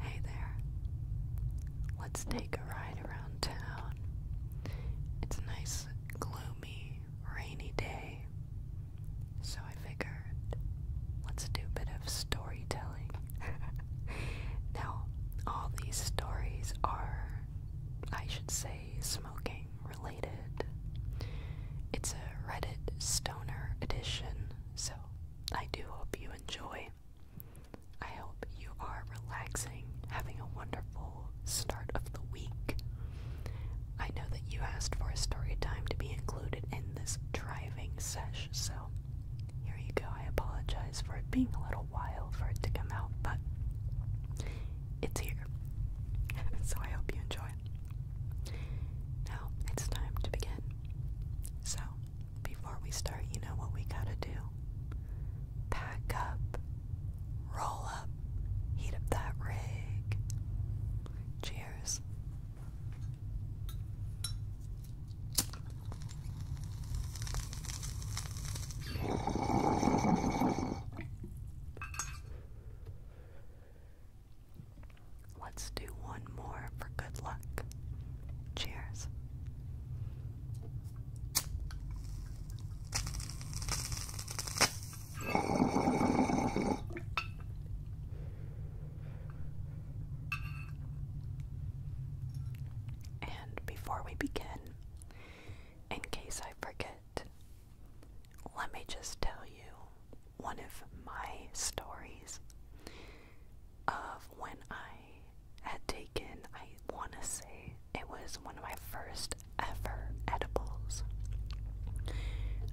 Hey there. Let's take a ride around town. It's a nice, gloomy, rainy day. So I figured let's do a bit of storytelling. now, all these stories are, I should say, smoking related. It's a Reddit edition, so I do hope you enjoy. I hope you are relaxing, having a wonderful start of the week. I know that you asked for a story time to be included in this driving sesh, so here you go. I apologize for it being a little while for it to come out, but it's here. so I hope you enjoy. Now it's time to begin. So, before we start, you know what we gotta do. Pack up, roll up, heat up that rig. Cheers. Let's do one more for good luck. Cheers. And before we begin, in case I forget, let me just tell you one of my stories of when I had taken, I want to say it was one of my first ever edibles.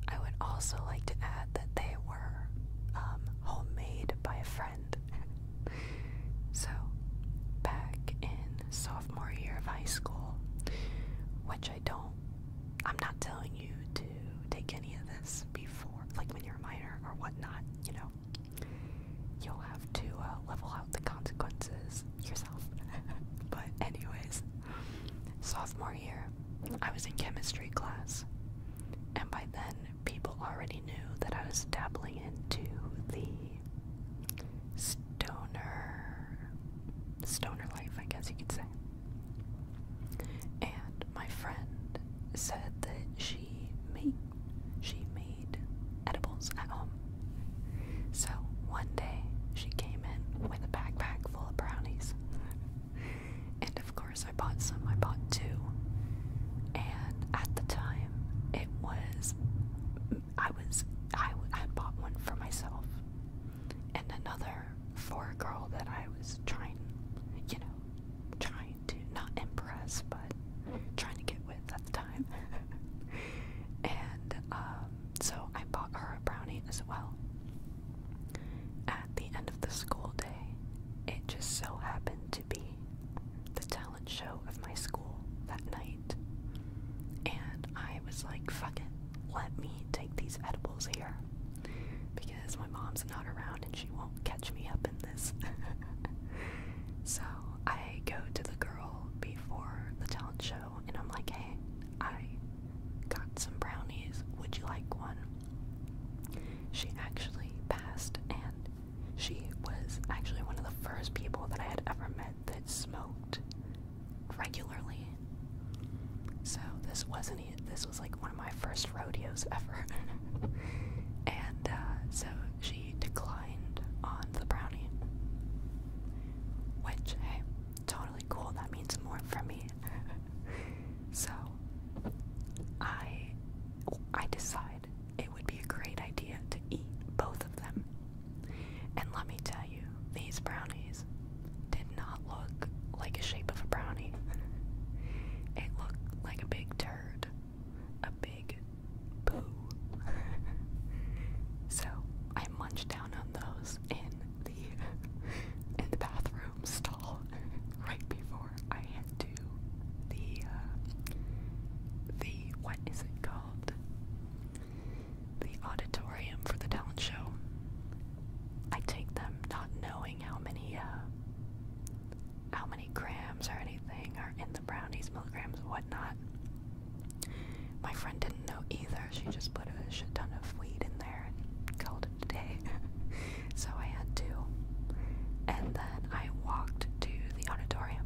I would also like to add that they were um, homemade by a friend. so, back in sophomore year of high school, which I don't, I'm not telling you to take any of this before, like when you're a minor or whatnot, you know, you'll have to uh, level out the consequences yourself. but, anyways, sophomore year, I was in chemistry class, and by then, people already knew that I was dabbling into the stoner stoner life, I guess you could say. And my friend said that she made she made edibles at home. So one day she came in with a backpack full of brownies. and of course I bought some. I bought two. And at the time it was I was I, I bought one for myself and another for a girl that I was trying, you know, trying to not impress, but trying to get with at the time. and um, so I bought her a brownie as well. At the end of the school day, it just so happened to be the talent show of my school that night. And I was like, fuck it let me take these edibles here because my mom's not around and she won't catch me up in this. so I go to the girl before the talent show and I'm like, hey, I got some brownies. Would you like one? She actually passed and she was actually one of the first people that I had ever met that smoked regularly. So this wasn't it. This was like one of my first rodeos ever. and uh, so she declined on the brownie. Which, hey, totally cool. That means more for me. so I I decide it would be a great idea to eat both of them. And let me tell you, these brownies did not look like a shape of a brownie. it looked like a big turd. A big poo. so I munched down on those in the in the bathroom stall right before I had to the uh, the what is it called? The auditorium for the talent show. I take them not knowing how many uh, how many grams or anything are in the brownies, milligrams, whatnot. My friend didn't know either. She just put a shit ton of weed in there and called it a day. so I had to. And then I walked to the auditorium.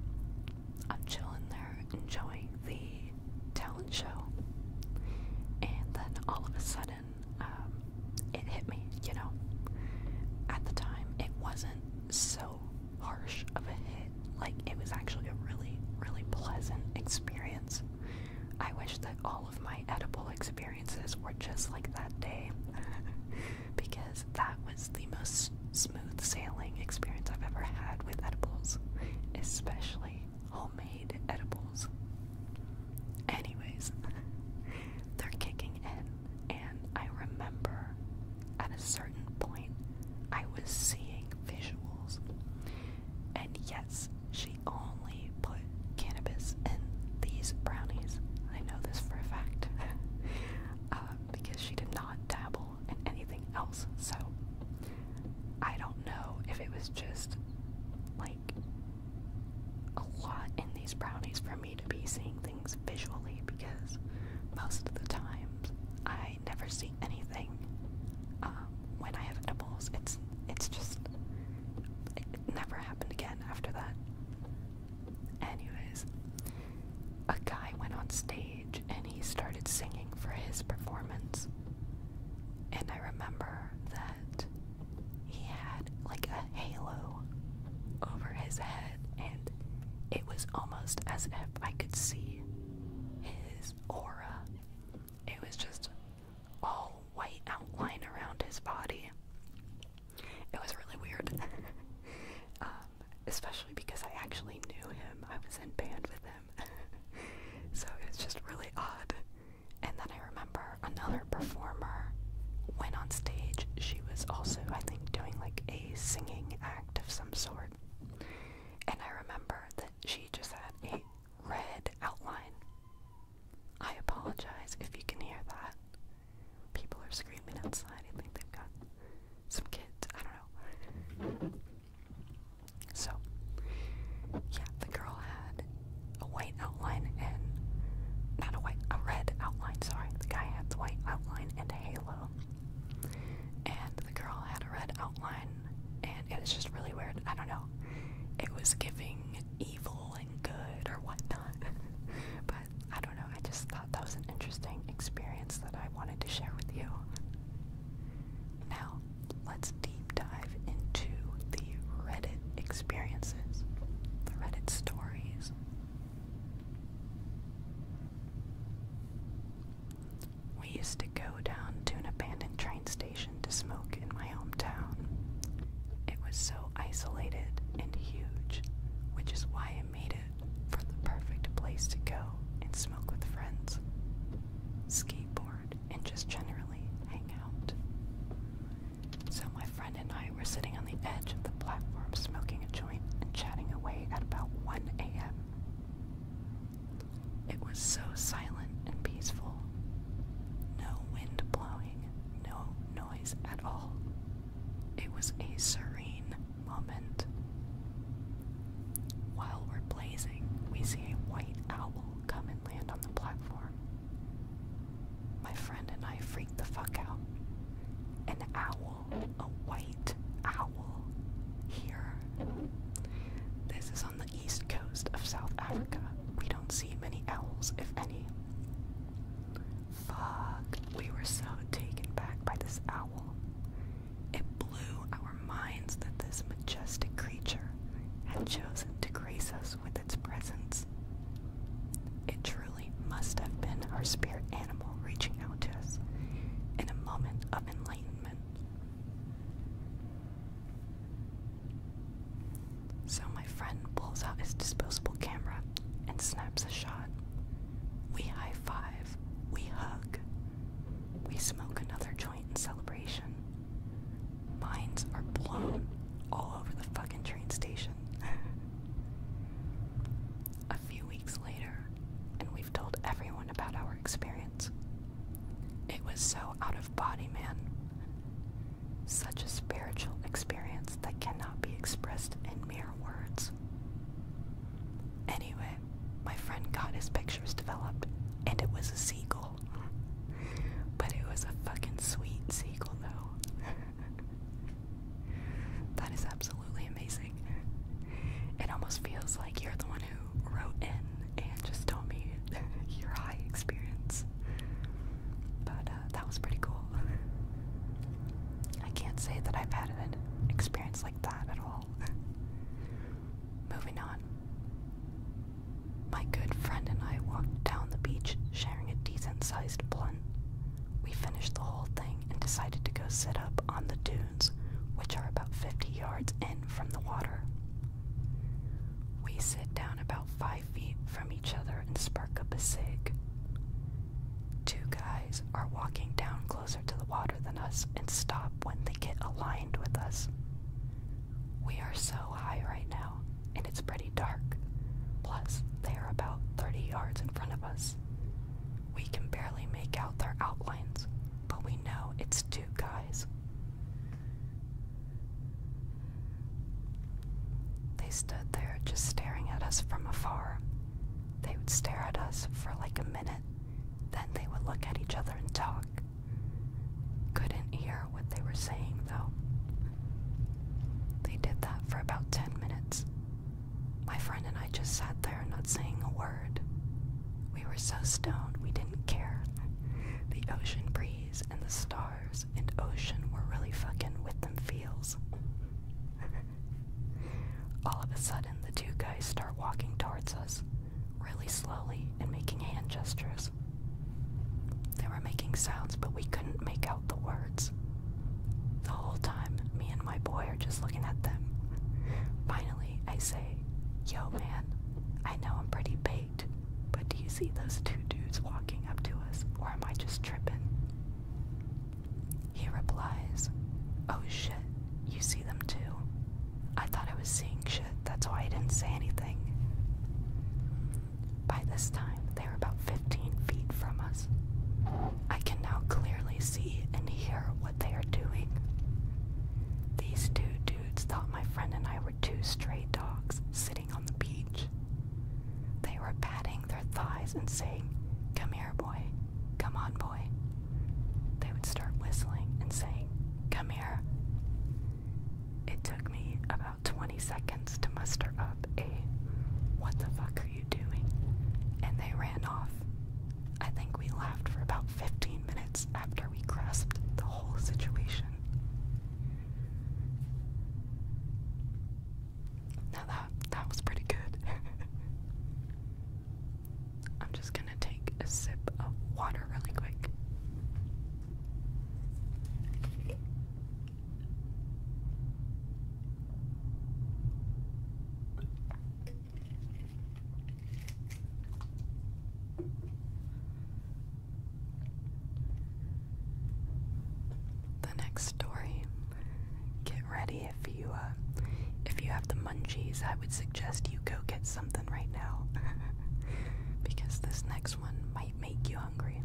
I'm chilling there, enjoying the talent show. And then all of a sudden, um, it hit me, you know? At the time, it wasn't so harsh of a hit. Like, it was actually a really, really pleasant experience. I wish that all of my edible experiences were just like that day because that was the most smooth sailing experience I've ever had with edibles, especially homemade edibles. Anyways, they're kicking in, and I remember at a certain point I was seeing visuals. And yes, she only put cannabis in these brownies. I know this for a fact uh, because she did not dabble in anything else. So I don't know if it was just like a lot in these brownies for me to be seeing things visually because most of the times I never see anything um, when I have edibles. It's it's just it never happened again after that. Anyways, a guy went on stage and he started singing for his performance. And I remember that he had like a halo over his head, and it was almost as if I could see his aura. It was just all white outline around his body. It was really weird, um, especially because I actually knew him. I was in band with him, so it's just really odd. And then I remember another performer went on stage. She was also, I think, doing like a singing act of some sort. And I remember that she just had a red outline. I apologize if you can hear that. People are screaming outside. I think they've got some kids. I don't know. So, yeah, the girl had a white outline and not a white, a red outline. Sorry, the guy had the white outline and halo, and the girl had a red outline, and it was just really weird. I don't know. It was giving evil and good or whatnot, but I don't know. I just thought that was an interesting experience that I wanted to share with you. Now, let's deep dive into the Reddit experiences, the Reddit stories. We used to go down to an abandoned train station to smoke in my hometown. It was so isolated and huge, which is why I made it for the perfect place to go and smoke with friends. Skateboard and just generally hang out. So my friend and I were sitting on the edge of the platform smoking a joint and chatting away at about 1 a.m. It was so silent and peaceful. No wind blowing, no noise at all. It was a serene moment. While we're blazing, we see a white owl come and land on the platform. My friend and I freaked the fuck out. An owl, a white owl, here. This is on the east coast of South Africa. We don't see many owls, if any. Fuck, we were so taken back by this owl. It blew our minds that this majestic creature had chosen to grace us with its presence. It truly must have been our spirit animal reaching out to us in a moment of enlightenment. So my friend pulls out his disposable camera and snaps a shot. We high five, we hug, we smoke another joint in celebration. Mines are blown all over the fucking train station. A few weeks later, and we've told everyone about our experience. It was so out of body, man. Such a spiritual experience that cannot be expressed in mere words. Anyway, my friend got his pictures developed, and it was a seagull. But it was a fucking sweet sequel, though. that is absolutely amazing. It almost feels like you're the one who wrote in and just told me your high experience. But uh, that was pretty cool. I can't say that I've had an experience like that at all. Moving on. My good friend and I walked down the beach, sharing a decent sized blunt. We finished the whole thing and decided to go sit up on the dunes, which are about 50 yards in from the water. We sit down about 5 feet from each other and spark up a cig. Two guys are walking down closer to the water than us and stop when they get aligned with us. We are so high right now, and it's pretty dark. Plus, they are about 30 yards in front of us. We can barely make out their outlines, but we know it's two guys. They stood there just staring at us from afar. They would stare at us for like a minute, then they would look at each other and talk. Couldn't hear what they were saying, though. They did that for about 10 minutes. My friend and I just sat there, not saying a word. We were so stoned, we didn't care. The ocean breeze and the stars and ocean were really fucking with them feels. All of a sudden, the two guys start walking towards us really slowly and making hand gestures. They were making sounds, but we couldn't make out the words. The whole time, me and my boy are just looking at them. Finally, I say, Yo, man, I know I'm pretty baked, but do you see those two dudes walking up to us, or am I just tripping? He replies, Oh shit, you see them too. I thought I was seeing shit, that's why I didn't say anything. By this time, they were about 15 feet from us. I can now clearly see and hear what they are doing. These two dudes thought my friend and I were two stray dogs sitting on the beach. They were patting their thighs and saying, Come here, boy. Come on, boy. They would start whistling and saying, Come here. It took me about 20 seconds to muster up a what the fuck are you doing? And they ran off. I think we laughed for about 15 minutes after we grasped the whole situation. Now that that was pretty good. I'm just gonna gonna take a sip of water really quick. The next story. Get ready if you uh, if you have the munchies. I would say just you go get something right now because this next one might make you hungry.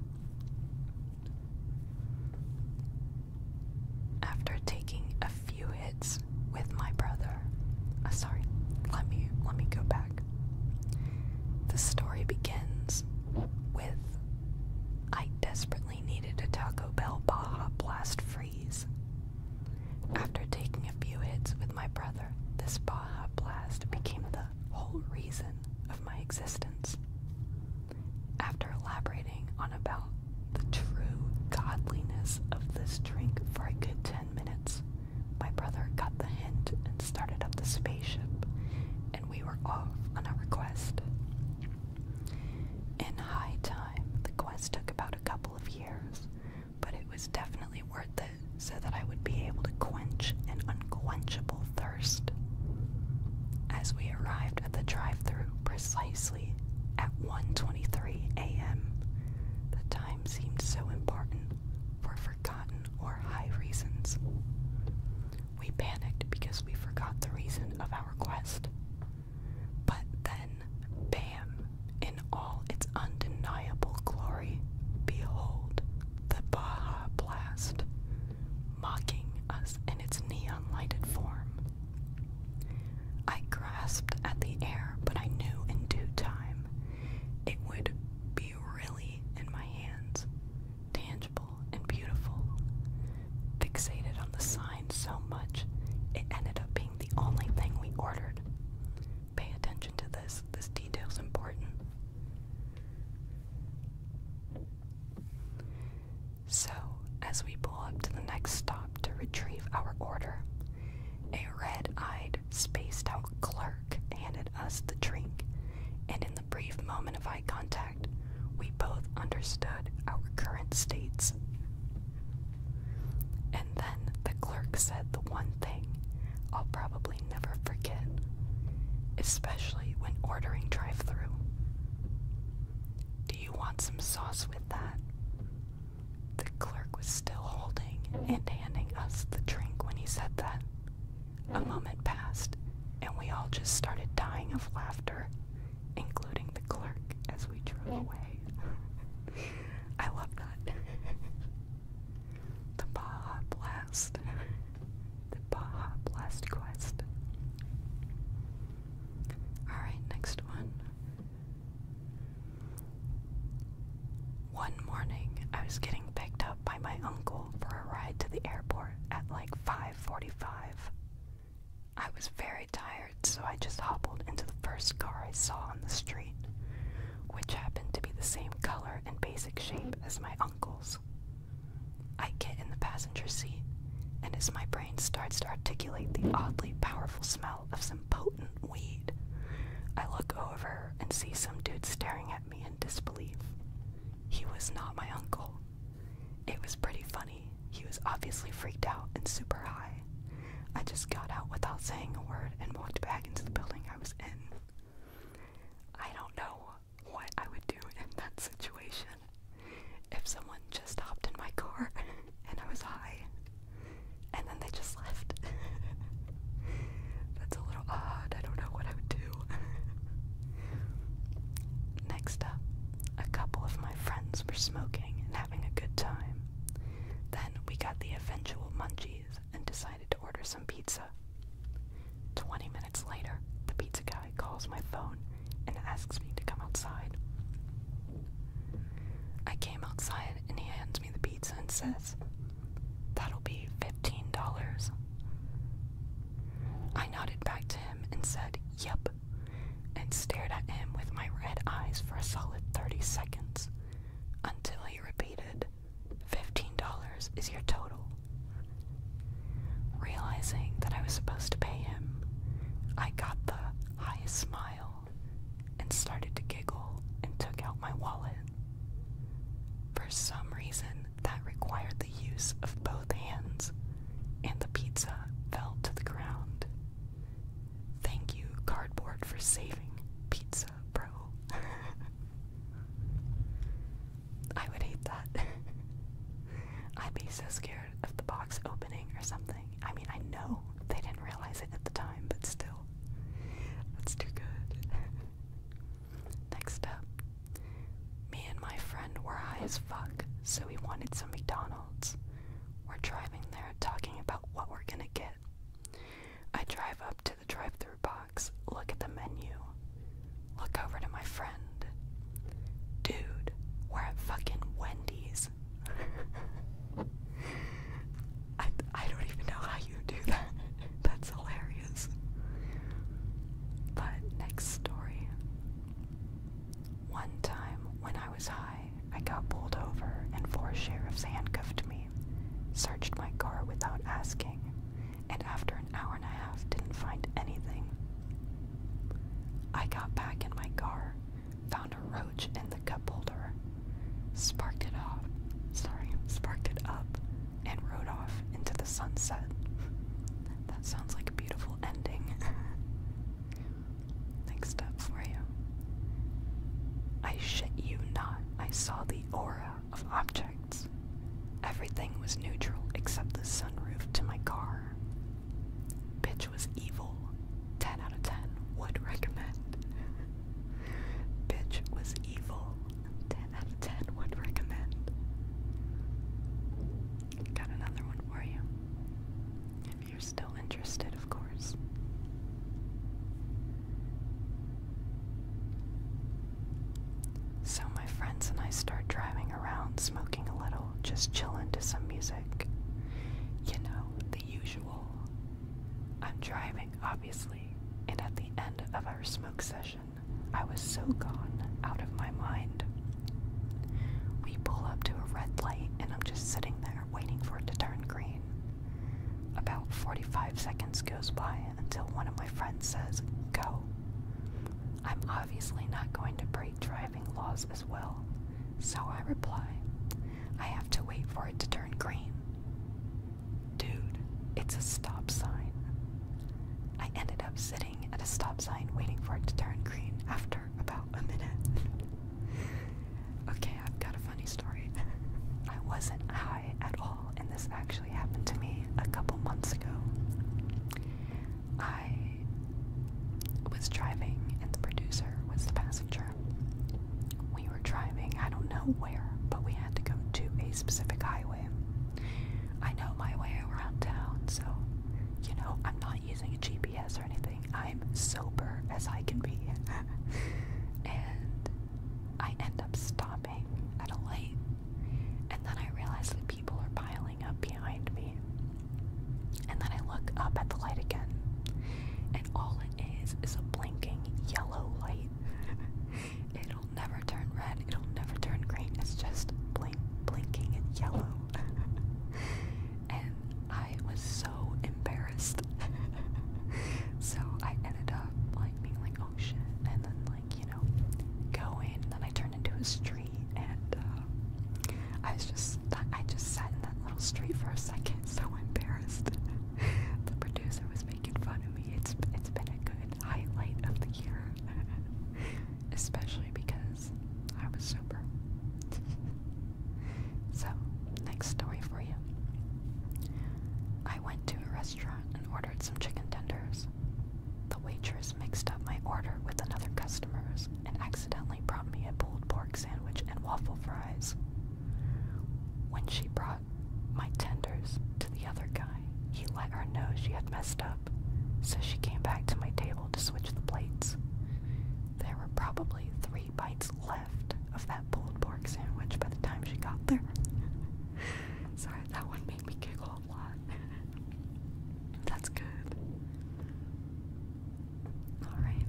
After taking a few hits with my brother, uh, sorry, let me let me go back. The story begins with I desperately needed a Taco Bell Baja Blast freeze. After taking a few hits with my brother, this Baja Blast became the whole reason of my existence. After elaborating on about the true godliness of this drink for a good ten minutes, my brother got the hint and started up the spaceship, and we were off on our quest. In high time, the quest took about a couple of years, but it was definitely worth it so that I would be able to quench an unquenchable thirst. As we arrived at the drive-thru precisely at one twenty-three a.m., the time seemed so important for forgotten or high reasons. We panicked because we forgot the reason of our quest. But then, bam, in all its undeniable glory, behold the Baja blast, mocking us in its neon lighted form. I grasped at the air, but I knew in due time it would be really in my hands, tangible and beautiful. Fixated on the sign so much, it ended up being the only thing we ordered. Pay attention to this. This is important. So, as we pull up to the next stop to retrieve our order, a red eyed, spaced out clerk handed us the drink, and in the brief moment of eye contact, we both understood our current states. And then the clerk said the one thing I'll probably never forget, especially when ordering drive through. Do you want some sauce with that? The clerk was still holding and handing us the drink when he said that. A moment passed, and we all just started dying of laughter, including the clerk as we drove away. I love that. The Baja Blast. the Baja Blast Quest. Alright, next one. One morning, I was getting picked up by my uncle for a ride to the airport at like 5:45. I was very tired, so I just hobbled into the first car I saw on the street which happened to be the same color and basic shape as my uncle's. I get in the passenger seat, and as my brain starts to articulate the oddly powerful smell of some potent weed, I look over and see some dude staring at me in disbelief. He was not my uncle. It was pretty funny. He was obviously freaked out and super high. I just got out without saying a word and walked back into the building I was lives I don't know what I would do in that situation if someone just hopped in my car and I was high and then they just left. That's a little odd. I don't know what I would do. Next up, a couple of my friends were smoking and having a good time. Then we got the eventual munchies and decided to order some pizza. Twenty minutes later, the pizza guy calls my phone and asks me to come outside. I came outside and he hands me the pizza and says, That'll be $15. I nodded back to him and said, Yep, and stared at him with my red eyes for a solid 30 seconds until he repeated, $15 is your total. Realizing that I was supposed to pay him, I got the highest smile and started to giggle and took out my wallet. For some reason, that required the use of both hands, and the pizza fell to the ground. Thank you, cardboard, for saving pizza bro. I would hate that. I'd be so scared of the box opening or something. I mean, I know they didn't realize it at the time, but still. That's too good. Next up, me and my friend were high as fuck, so we wanted some McDonald's. We're driving there talking about what we're gonna get. I drive up to the drive through box, look at the menu, look over to my friend. Dude, we're at fucking Wendy's. I, I don't even know how you do that. That's hilarious. But next story. One time when I was high, I got pulled over and four sheriffs handcuffed me searched my car without asking, and after an hour and a half didn't find anything. I got back in my car, found a roach in the cup holder, sparked it off, sorry, sparked it up, and rode off into the sunset. That sounds like a beautiful ending. Next up for you. I shit you not, I saw aura of objects. Everything was neutral except the sunroof to my car. Bitch was evil. 10 out of 10 would recommend. Bitch was evil. 10 out of 10 would recommend. Got another one for you. If you're still interested, of course. So my friends and I start driving around, smoking a little, just chillin' to some music. You know, the usual. I'm driving, obviously, and at the end of our smoke session, I was so gone out of my mind. We pull up to a red light, and I'm just sitting there waiting for it to turn green. About 45 seconds goes by until one of my friends says, Go. I'm obviously not going to break driving laws as well, so I reply, I have to wait for it to turn green. Dude, it's a stop sign. I ended up sitting at a stop sign waiting for it to turn green after about a minute. Okay, I've got a funny story. I wasn't high at all, and this actually happened to me a couple months ago. I was driving, and the producer was the passenger. We were driving, I don't know where, but we had to go to a specific highway. I know my way around town, so, you know, I'm not using a GPS or anything. I'm sober as I can be. and I end up stopping at a light, and then I realize that people are piling up behind me. And then I look up at the light again, and all it is is a blinking yellow light. It'll never turn red, it'll never turn green, it's just blink, blinking in yellow. and I was so embarrassed. so I ended up like being like, oh shit, and then like, you know, going, and then I turned into a street and uh, I was just, I just sat in that little street for a second, so embarrassed. the producer was making fun of me. It's, it's been a good highlight of the year. Especially because I was sober. so Next story for you. I went to a restaurant and ordered some chicken tenders. The waitress mixed up my order with another customer's and accidentally brought me a pulled pork sandwich and waffle fries. When she brought my tenders to the other guy, he let her know she had messed up, so she came back to my table to switch the plates. There were probably three bites left of that pulled pork sandwich by the time she got there. Sorry, that one made me giggle a lot. That's good. Alright.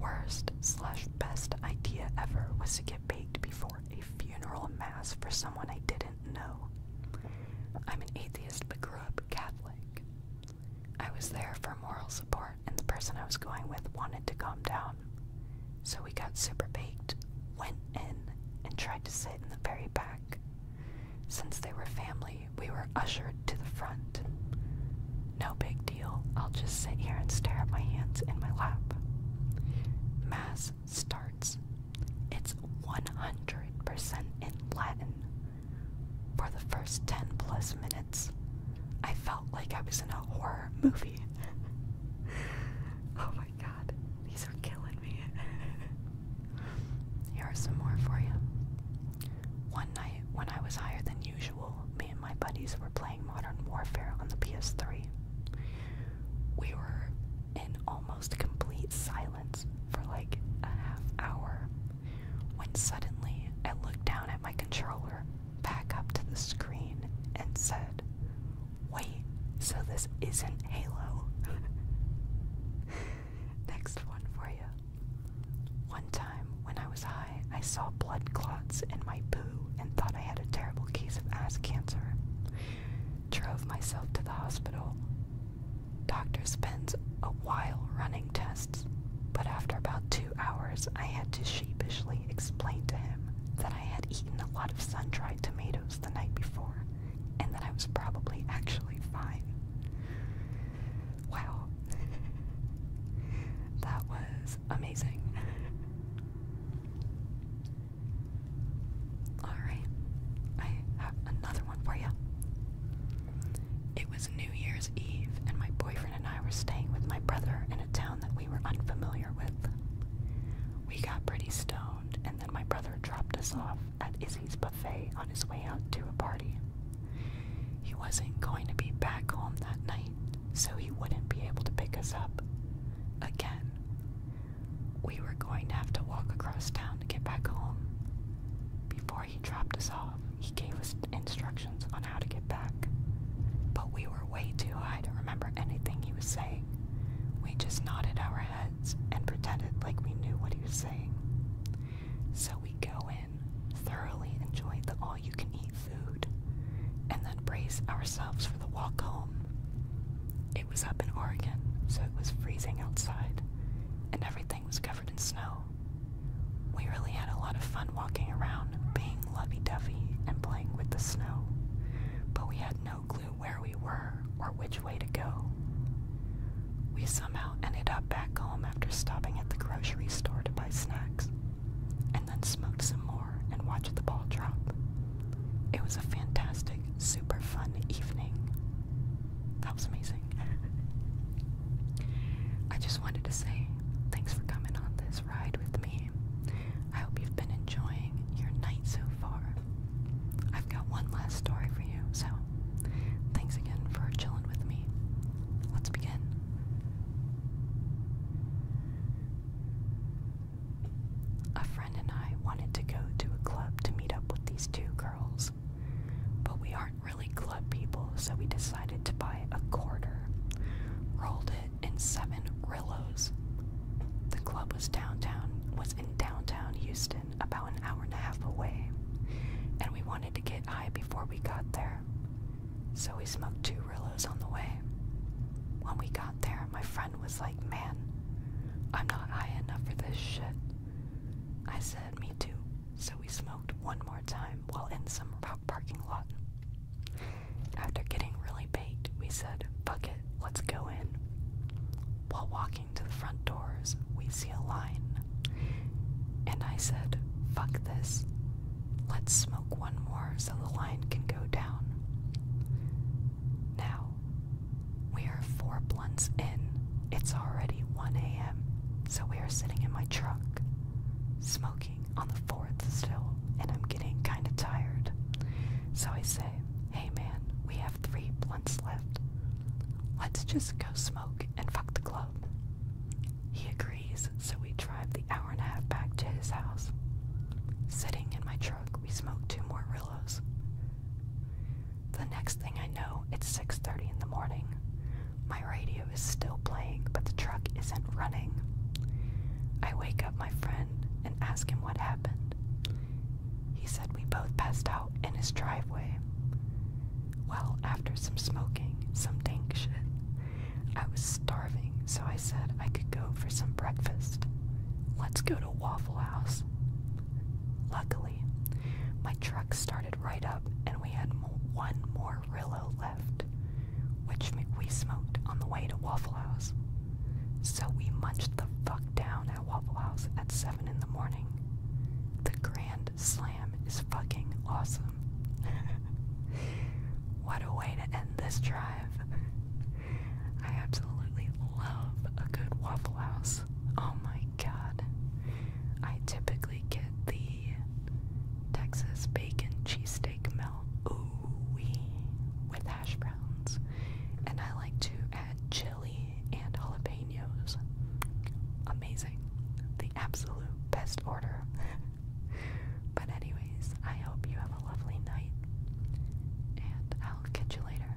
Worst slash best idea ever was to get baked before a funeral mass for someone I didn't know. I'm an atheist but grew up Catholic. I was there for moral support, and the person I was going with wanted to calm down. So we got super baked, went in, and tried to sit in the very back. Since they were family, we were ushered to the front. No big deal, I'll just sit here and stare at my hands in my lap. Mass starts. It's 100% in Latin. For the first 10 plus minutes, I felt like I was in a horror movie. oh my god, these are killing me. Here are some more for you. One night, when I was higher than usual, me and my buddies were playing Modern Warfare on the PS3. We were in almost complete silence for like a half hour when suddenly I looked down at my controller, back up to the screen, and said, Wait, so this isn't Halo. Next one for you. One time when I was high, I saw blood clots in my poo and thought I had a terrible case of ass cancer. Drove myself to the hospital. Doctor spends a while running tests, but after about two hours, I had to sheepishly explain to him that I had eaten a lot of sun dried tomatoes the night before and that I was probably actually fine. Wow. that was amazing. Alright, I have another one for you. It was New Year's Eve, and my boyfriend and I were staying with my brother in a town that we were unfamiliar with. We got pretty stoned, and then my brother dropped us off at Izzy's buffet on his way out to a party. He wasn't going to be back home that night, so he wouldn't be able to pick us up again. We were going to have to walk across town to get back home. Before he he dropped us off, he gave us instructions on how to get back. But we were way too high to remember anything he was saying. We just nodded our heads and pretended like we knew what he was saying. So we go in, thoroughly enjoy the all you can eat food, and then brace ourselves for the walk home. It was up in Oregon, so it was freezing outside, and everything was covered in snow. We really had a lot of fun walking around, being lovey dovey, and playing with the snow, but we had no clue where we were or which way to go. We somehow ended up back home after stopping at the grocery store to buy snacks, and then smoked some more and watched the ball drop. It was a fantastic, super fun evening. That was amazing. I just wanted to say thanks for coming on this ride with me. I hope you've been enjoying your night so far. I've got one last story for you, so thanks again for chilling with me. Let's begin. A friend and I wanted to go to a club to meet up with these two girls, but we are weren't really club people, so we decided to buy a quarter. Rolled it in seven Rillos. The club was downtown was in downtown Houston, about an hour and a half away, and we wanted to get high before we got there. So we smoked two Rillos on the way. When we got there, my friend was like, Man, I'm not high enough for this shit. I said, Me too so we smoked one more time while in some parking lot. After getting really baked, we said, fuck it, let's go in. While walking to the front doors, we see a line. And I said, fuck this. Let's smoke one more so the line can go down. Now, we are four blunts in. It's already 1 a.m., so we are sitting in my truck smoking on the fourth still, and I'm getting kind of tired. So I say, hey man, we have three blunts left. Let's just go smoke and fuck the club. He agrees, so we drive the hour and a half back to his house. Sitting in my truck, we smoke two more Rillos. The next thing I know, it's 6:30 in the morning. My radio is still playing, but the truck isn't running. I wake up my friend and ask him what happened. He said we both passed out in his driveway. Well, after some smoking, some dank shit, I was starving, so I said I could go for some breakfast. Let's go to Waffle House. Luckily, my truck started right up and we had one more Rillo left, which we smoked on the way to Waffle House. So we munched the fuck down at Waffle House at 7 in the morning. The Grand Slam is fucking awesome. what a way to end this drive. I absolutely love a good Waffle House. Oh my god. I typically get the Texas bacon cheesesteak melt. Ooh-wee. With hash browns. And I like to add chili and jalapenos. Amazing. The absolute best order. but anyways, I hope you have a lovely night. And I'll catch you later.